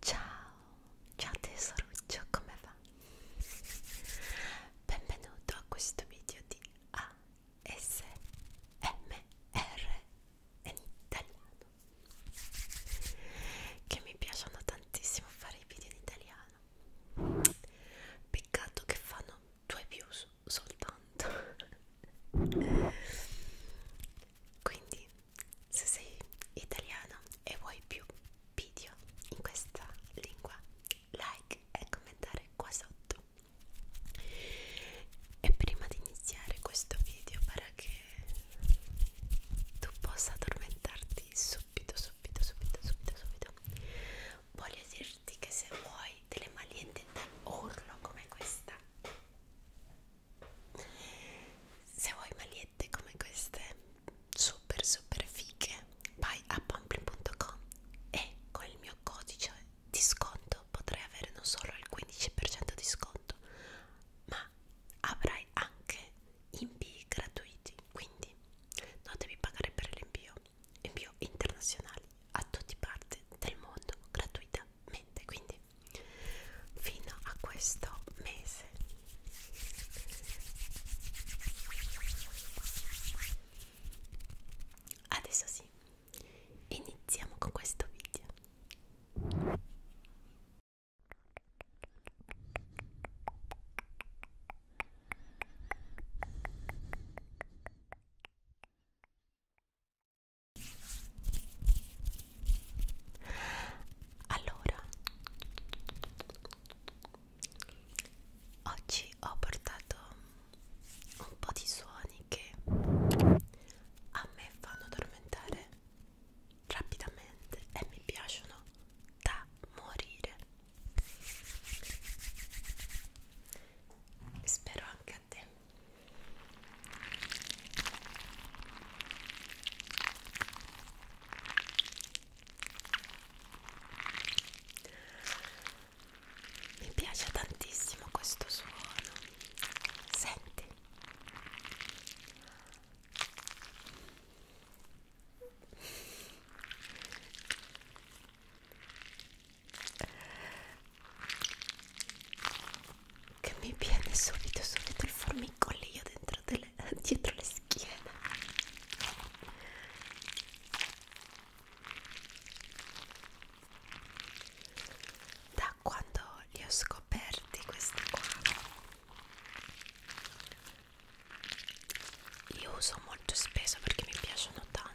Ciao, ciao tesoruccio, come va? Benvenuto a questo video di ASMR in italiano che mi piacciono tantissimo fare i video in italiano peccato che fanno due views soltanto quindi se sei italiano e vuoi più video in questa lingua like e commentare qua sotto e prima di iniziare questo video para che tu possa addormentarti subito subito subito subito subito voglio dirti che se vuoi delle maliette da urlo come questa se vuoi magliette come queste super super fighe vai a pamplin.com e con il mio codice di sconto potrai avere non solo il 15% di sconto ma avrai anche invii gratuiti quindi non devi pagare per l'invio invio internazionali a tutti parte del mondo gratuitamente quindi mesi fino a questo mese adesso sì iniziamo con questo video allora, oggi ho portato un po' di suoni che a me fanno addormentare rapidamente e mi piacciono da morire. Spero anche a te mi piace tantissimo questo suono senti che mi viene subito subito il formicolio dentro delle, dietro le schiene da quando li ho scoperti questi qua li uso molto spesso perché mi piacciono tanto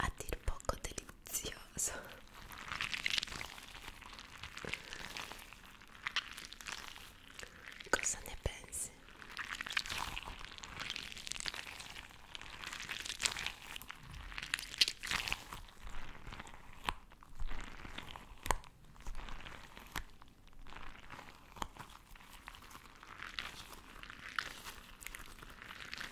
a dir poco delizioso cosa ne pensi?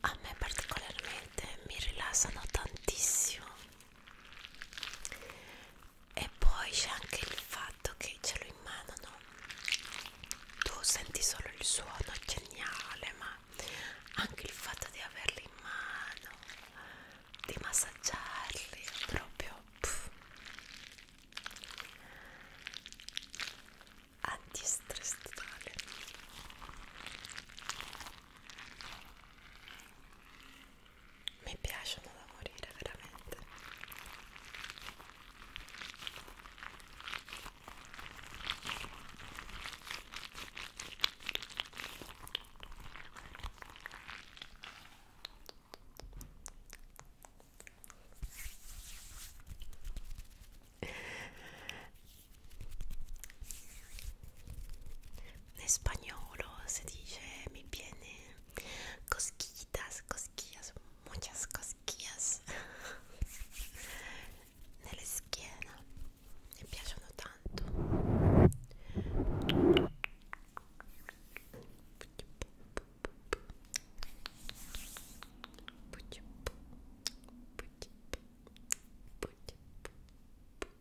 A me particolarmente mi rilassano tantissimo e poi c'è anche il fatto che ce l'ho in mano no? tu senti solo il suono geniale ma anche il fatto di averli in mano di massaggiarli è proprio pff, antistress totale mi piacciono da morire veramente in spagnolo si dice mi viene cosquillitas, cosquillas, muchas cosquillas nella schiena me piacciono tanto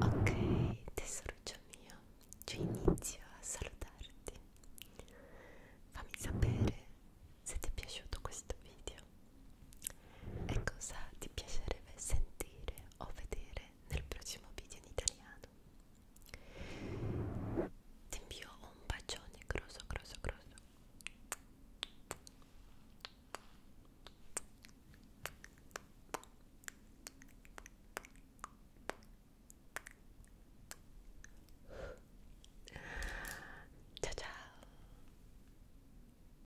Ok, tesoruccio mio, io inizio a salutarti. Fammi sapere se ti è piaciuto questo video video e cosa ti piacerebbe sentire o vedere nel prossimo video in italiano. Ti invio un bacione grosso, grosso, grosso. Ciao ciao